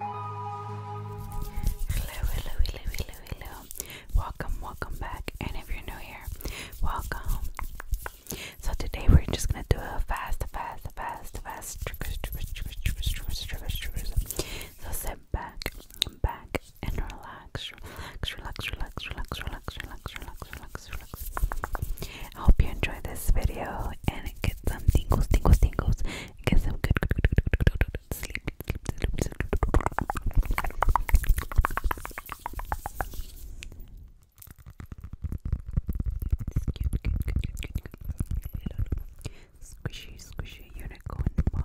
Hello, hello, hello, hello, hello. Welcome, welcome back. And if you're new here, welcome. So today we're just gonna do a fast, fast, fast, fast triggers, triggers, triggers, triggers, triggers, triggers, triggers. So sit back, back and relax, relax, relax, relax, relax, relax, relax, relax, relax, relax, relax. I hope you enjoyed this video and get some tingles, tingles, tingles. Get some good, good, good, good, good, good, good sleep, sleep, sleep, sleep. Squishy, squishy unicorn ball.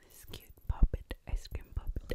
This cute puppet, ice cream puppet.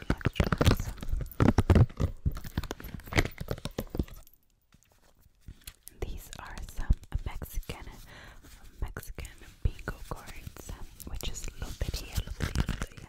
relax, relax, These are some Mexican Mexican bingo cards, which is loteria, loteria.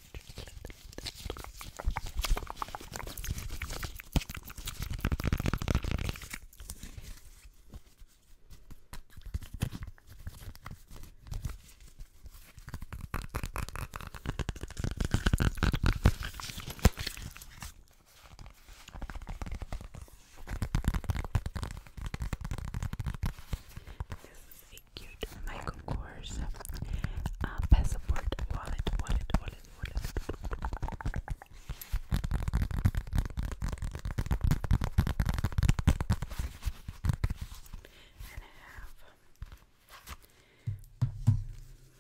This is a cute Michael Kors uh, passport wallet, wallet, wallet, and I have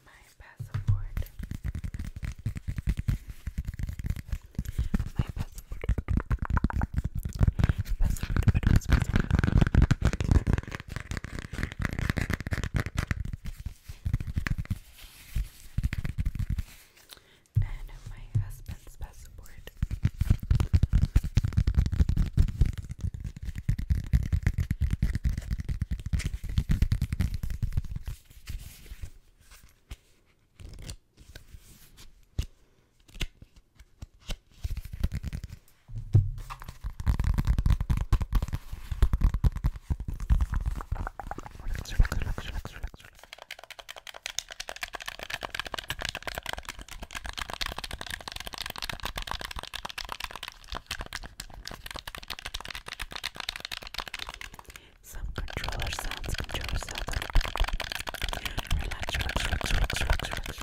my passport. My passport. Passport, passport, passport. And my husband's passport. Relax, relax, relax, relax, relax, relax. Some controller sounds, controller sounds. Relax, relax, relax, relax, relax, relax, relax.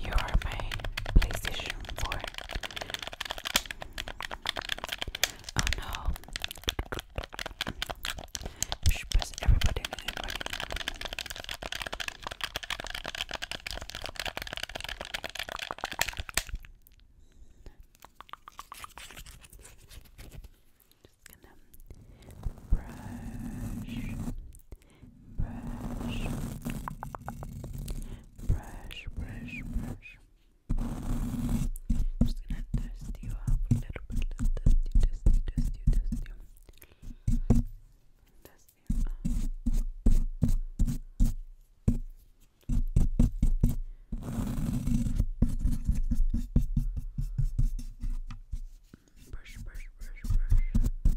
You are my PlayStation boy. Oh no. everybody. Just gonna brush brush, brush, brush, brush. I'm just gonna dust you off a little bit. Let's dust you, dust you, dust you, dust you. Dust you off. Brush, brush, brush, brush.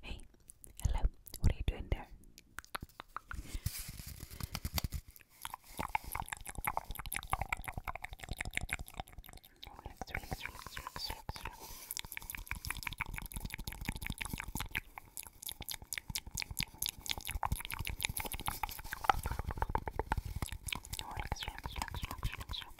Hey, hello, what are you doing there?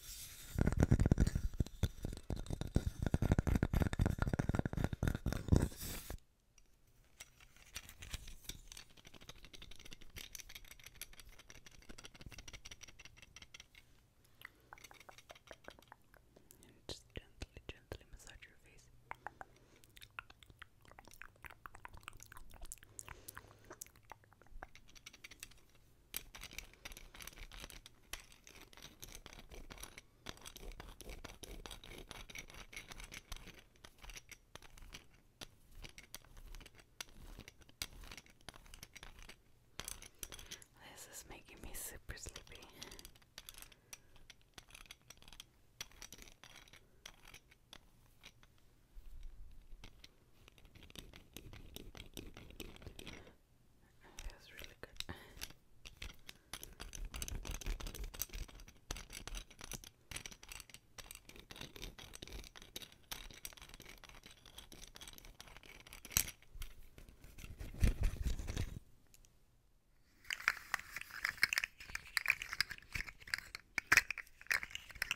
And just gently, gently massage your face. This is making me super sleepy. It feels really good.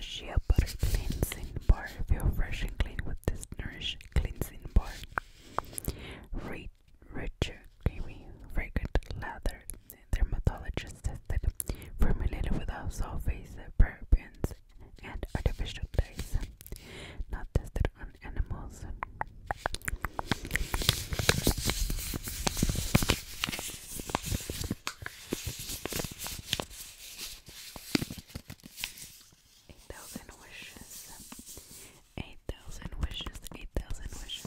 Shea Butter Cleansing Bar. Feel fresh and clean with this Nourish Cleansing Bar. Rich, rich creamy, fragrant lather. Dermatologist tested, formulated without sulfates, parabens, and artificial dyes. Not tested on animals. Eight thousand wishes. Eight thousand wishes. Eight thousand wishes.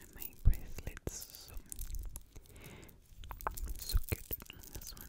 And my bracelets so, so cute on this one.